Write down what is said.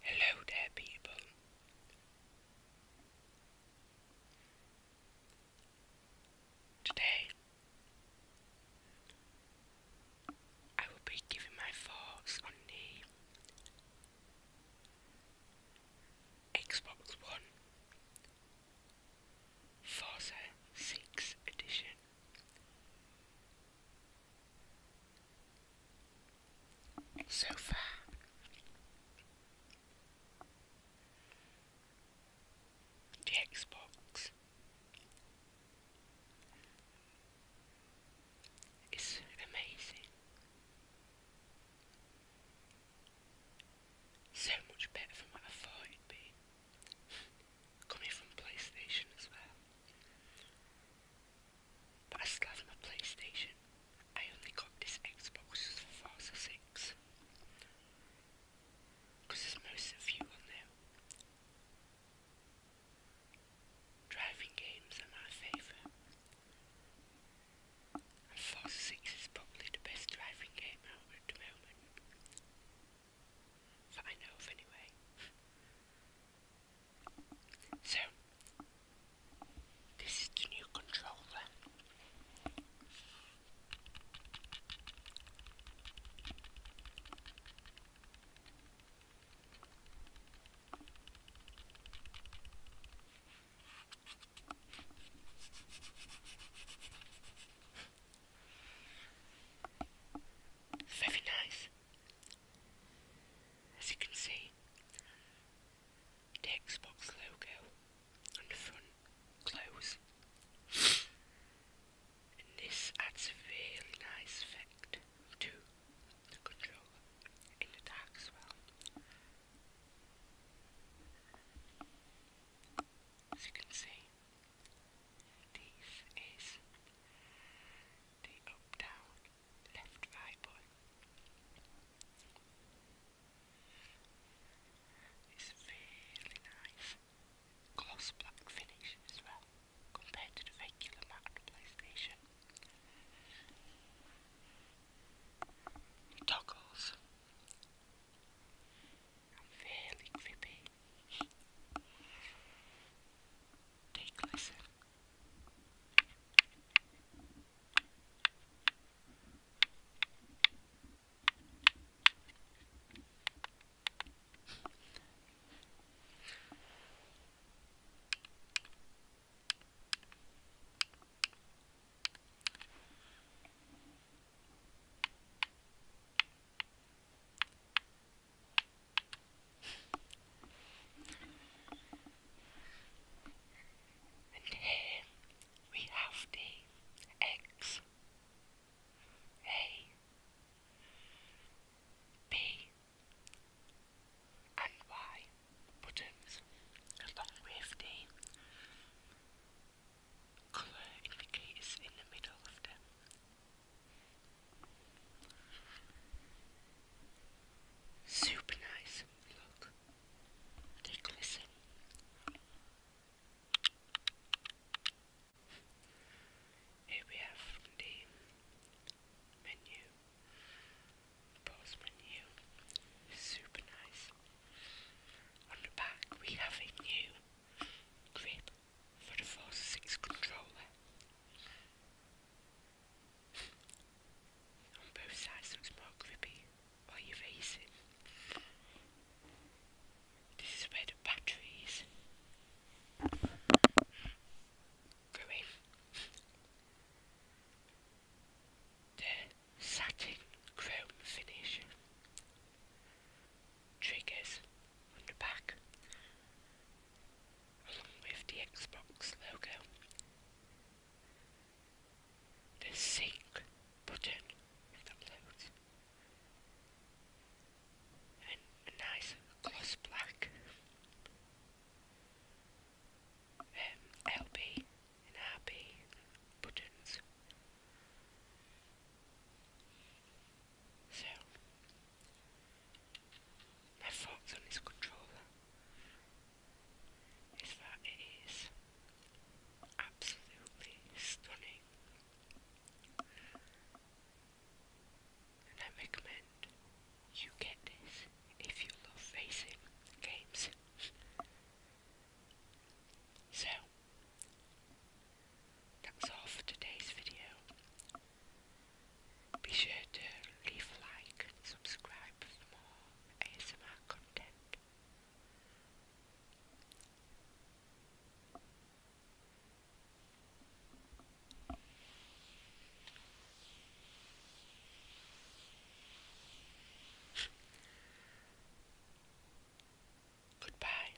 Hello there, people. Today, I will be giving my thoughts on the Xbox One Forza Edition. So far. The Xbox is amazing. So much better than what I thought it'd be coming from PlayStation as well. But I still have my PlayStation. I only got this Xbox for Forza 6. Because there's most of on there. Driving games are my favourite. Force 6 is probably the best driving game out at the moment. That I know of anyway. So, this is the new controller. Very nice. As you can see, Xbox logo on the front glows. And this adds a really nice effect to the control in the dark as well. As you can see, this is the up, down, left, right button. It's really nice. Gloss black finish as well, compared to the regular matte PlayStation. Toggles. I'm fairly grippy. Take a listen. And here we have the eggs. A B and Y buttons along with the colour indicators in the middle of them. Super nice, look, they glisten. Here we have the menu, pause menu, super nice. On the back we have a new grip for the Force 6 controller. On both sides looks more grippy while you raise this is where the batteries go in. The satin chrome finish triggers on the back along with the Xbox logo the sync button with upload and a nice gloss black um, and RB buttons. So, my thoughts on this controller is that it is absolutely stunning. And I recommend you get this if you love facing games. so, that's all for today's video. Be sure to leave like subscribe for more. ASMR content. Goodbye.